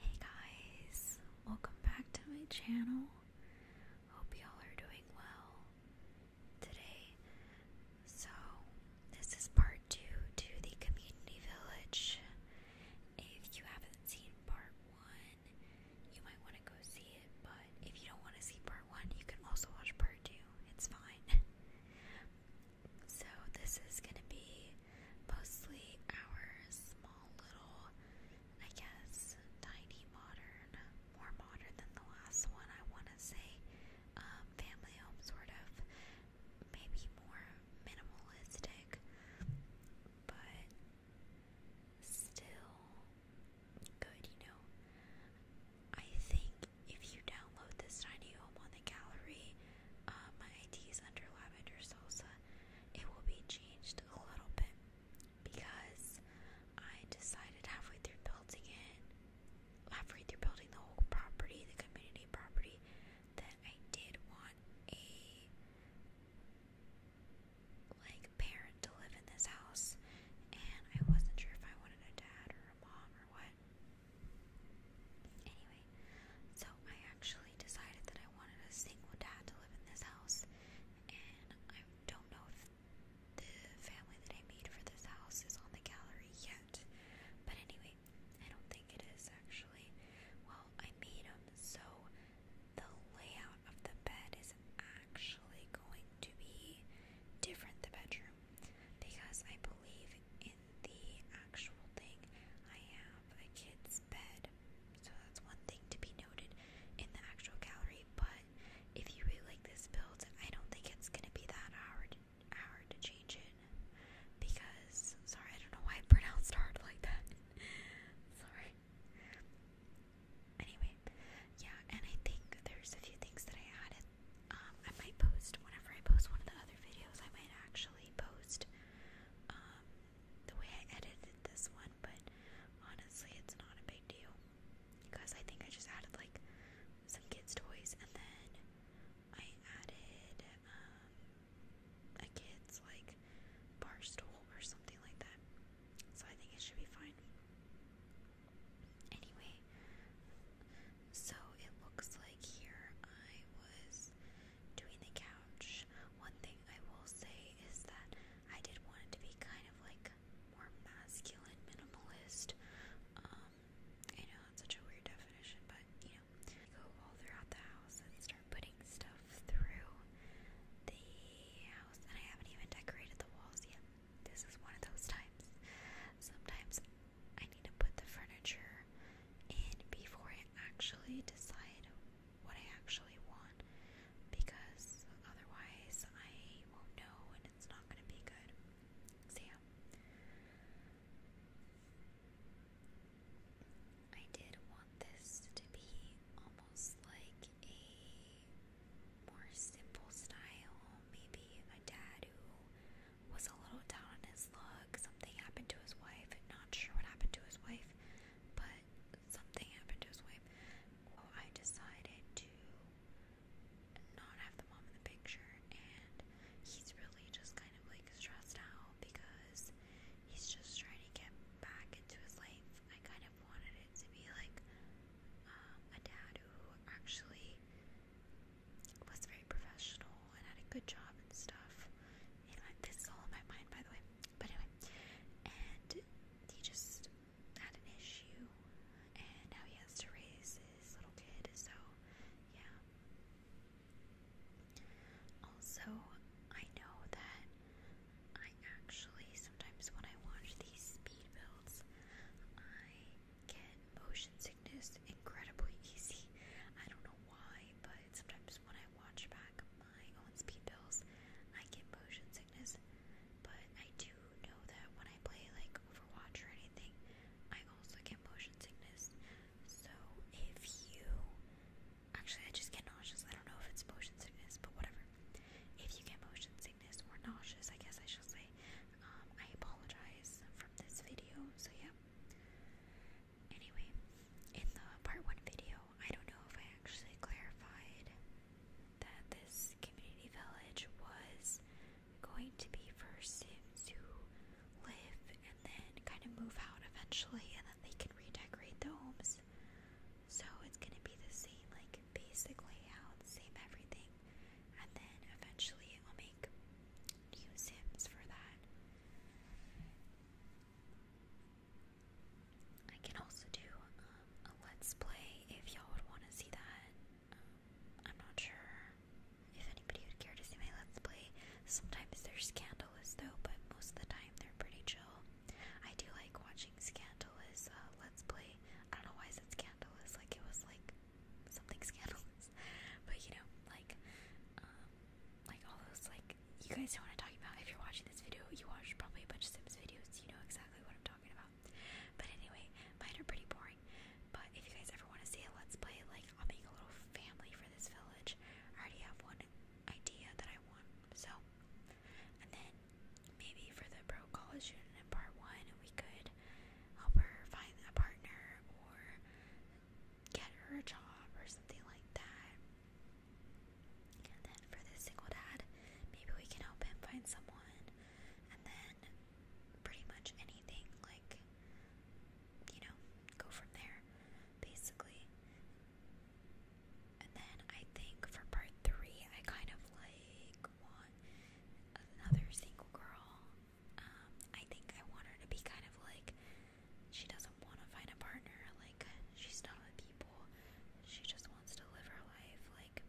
Hey guys, welcome back to my channel. Hope y'all are doing well today. So, this is part two to the community village. If you haven't seen part one, you might want to go see it, but if you don't want to see part one, you can also watch part two. It's fine. So, this is going to be Mostly our small little, I guess, tiny modern, more modern than the last one, I want to say, um, family home sort of, maybe more minimalistic, but still good, you know. I think if you download this tiny home on the gallery, uh, my ID is under Lavender Sosa. It will be changed a little bit because I decided halfway through building it, halfway through building the whole property, the community property, that I did want a like parent to live in this house, and I wasn't sure if I wanted a dad or a mom or what. Anyway, so I actually decided that I wanted a single dad to live in this house, and I don't know if the family that I made for this house is on the gallery yet. But anyway, I don't think it is actually. Well, I made them so the layout of the bed is actually going to be different the bedroom because I believe in the actual thing. I have a kid's bed, so that's one thing to be noted in the actual gallery. But if you really like this build, I don't think it's gonna be that hard hard to change it because sorry, I don't know why I pronounced hard like that. sorry. Anyway, yeah, and I think there's a few things that I added um, I might post whenever I post one of the other videos. I might actually post um, the way I edited this one, but honestly, it's not a big deal because I think I just added like some kids' toys and then I added um, a kid's like bar stool or something like that. So I think it should be fine. Anyway, so it looks like here I was doing the couch. One thing I will say is that I did want it to be kind of like more masculine minimalist. Um, I know that's such a weird definition, but you know, go all throughout the house and start putting stuff through the house. And I haven't even decorated the walls yet. This is one of those times. Sometimes I need to put the furniture in before I actually decide what I actually want because otherwise I won't know and it's not going to be good. So, yeah. I did want this to be almost like a more simple style. Maybe a dad who was a little down on his luck. Something happened to his wife. Not sure what happened to his wife, but something happened to his wife. Well, I decided to not have the mom in the picture, and he's really just kind of like stressed out because he's just trying to get back into his life. I kind of wanted it to be like um, a dad who actually was very professional and had a good job and stuff. You know, this is all in my mind, by the way. But anyway, and he just had an issue, and now he has to raise his little kid. So, yeah. Also, I know that I actually sometimes when I watch these speed builds. I get motion sickness incredibly easy. I don't know why, but sometimes when I watch back my own speed bills, I get motion sickness. But I do know that when I play like Overwatch or anything, I also get motion sickness. So if you actually, I just get nauseous. I don't know if it's motion sickness, but whatever. If you get motion sickness or nauseous, I guess I should say, um, I apologize from this video. So, yeah. Anyway, in the part one video, I don't know if I actually clarified that this community village was going to be for Sims who live and then kind of move out eventually, and then they can redecorate the homes so it's going to be the same, like, basic layout, same everything. And then eventually it will make new Sims for that. I can also do um, a Let's Play if y'all would want to see that. Um, I'm not sure if anybody would care to see my Let's Play. Sometimes they're scandalous though, but most of the time they're pretty chill. I do like watching Scandalous uh, Let's Play. I don't know why I said Scandalous, like it was like something scandalous. But you know, like, um, like all those, like, you guys know what I'm talking about. If you're watching this video, you watched probably a bunch of Sims videos, so you know exactly what I'm talking about. But anyway, mine are pretty boring. But if you guys ever want to see a Let's Play, like, I'll make a little family for this village. I already have one idea that I want so, and then maybe for the pro college student in part one, we could help her find a partner or get her a job or something like that. And then for the single dad, maybe we can help him find someone. And then pretty much anything, like, you know, go from there, basically. And then I think for part three, I kind of like want another single girl. Um, I think I want her to be kind of like she doesn't want to find a partner, like she's not with people. She just wants to live her life. Like,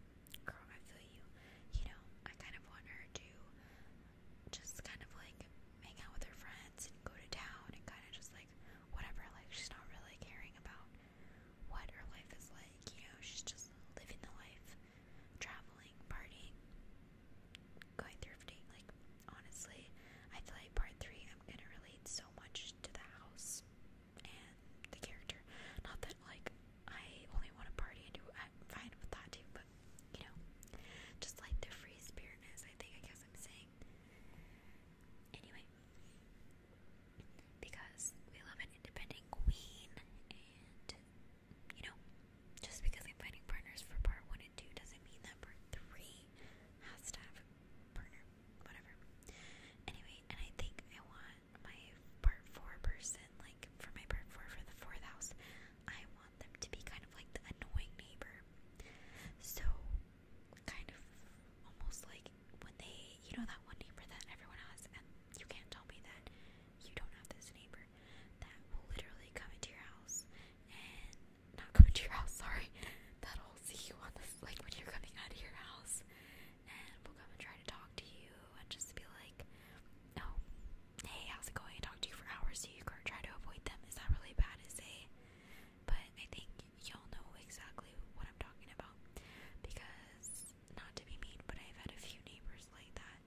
girl, I feel you. You know, I kind of want her to just kind of like hang out with her friends and go to town and kind of just like whatever, like she's not really caring about what her life is like, you know, she's just living the life, traveling, partying, going thrifting, like honestly, I feel like part three I'm gonna relate so much to the house and the character. Not that like I only want to party and do I'm fine with that too, but you know, just like the free spiritness, I think I guess I'm saying. Anyway, because we love an independent queen, and you know, just because I'm finding partners for part one and two doesn't mean that part three has to have a partner, whatever. Anyway, and I think I want my part four person, like for my part four for the fourth house, I want them to be kind of like the annoying neighbor. So kind of almost like when they, you know, that one neighbor that everyone has, and you can't tell me that you don't have this neighbor that will literally come into your house and not come into your house, sorry, that'll see you on this, like when you're coming out of your house, and will come and try to talk to you and just be like, no, oh, hey, how's it going? And talk to you for hours so you can't try to avoid them. Is that really bad? Is a but I think y'all know exactly what I'm talking about because, not to be mean, but I've had a few neighbors like that.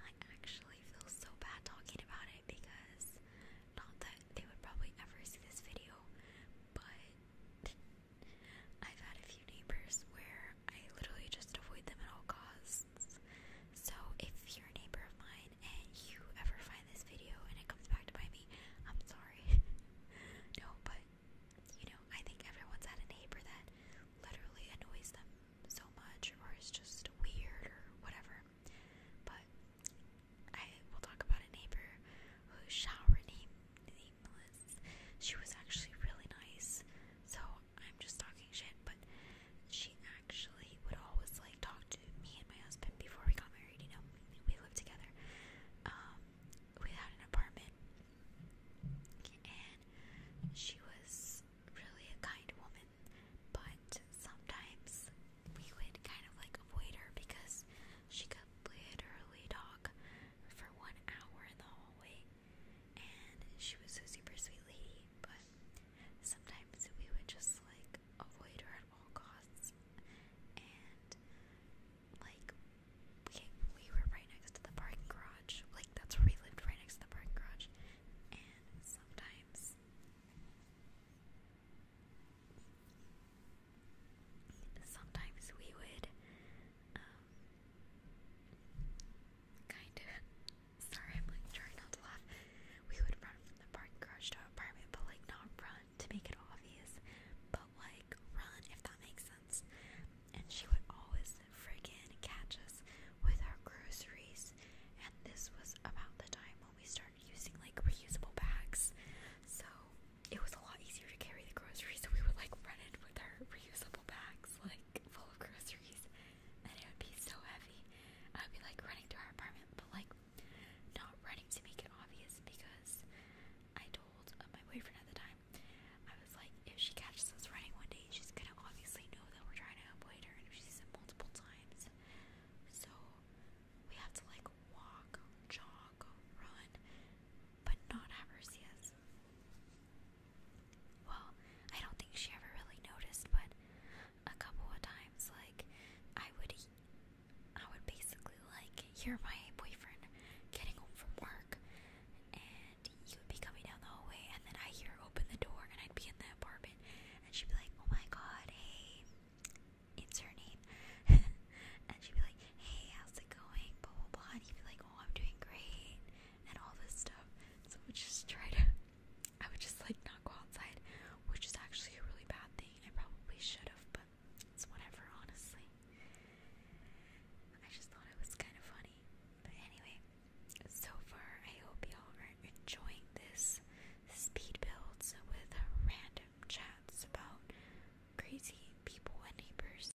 I actually feel so bad talking about it because not that they would probably ever see this video, but I've had a few neighbors where I literally just avoid them at all costs podcasts. So if you're a neighbor of mine and you ever find this video and it comes back to bite me, I'm sorry. no, but you know, I think everyone's had a neighbor that literally annoys them so much or is just weird or whatever. But I will talk about a neighbor who shall rename nameless. She was actually really nice, so I'm just talking shit, but she actually would always like talk to me and my husband before we got married, you know, we lived together. Um, we had an apartment, and she was really a kind woman, but sometimes we would kind of like avoid her because she could literally talk for one hour in the hallway and she was a super sweet lady, but sometimes we would just like avoid her at all costs, and like we, we were right next to the parking garage, like that's where we lived, right next to the parking garage, and sometimes. Sometimes we would um, kind of Sorry, I'm like trying not to laugh. We would run from the parking garage to our apartment, but like not run to make it obvious, but like run if that makes sense. And she would always friggin' catch us with our groceries. And this was about the time when we started using like reusable bags. So it was a lot easier to carry the groceries, so we would like run in with our reusable bags, like full of groceries and it would be so heavy. I would be like running to our apartment, but like not running to make it obvious because I told uh, my boyfriend at the time, I was like, if she catches us running one day, she's gonna obviously know that we're trying to avoid her, and if she sees it multiple times, so we have to like walk, jog, run, but not have her see us was. Well, I don't think she ever really noticed, but a couple of times, like, I would, I would basically, like, hear my boyfriend getting home from work, and he would be coming down the hallway, and then I hear her open the door, and I'd be in the apartment, and she'd be like, oh my god, hey, it's her name, and she'd be like, hey, how's it going, blah, blah, blah, and he'd be like, oh, I'm doing great, and all this stuff. So I would just try to, I would just like not go outside, which is actually a really bad thing. I probably should have, but it's whatever, honestly. I just thought it was kind of funny. But anyway, so far I hope y'all are enjoying this speed builds with random chats about crazy people and neighbors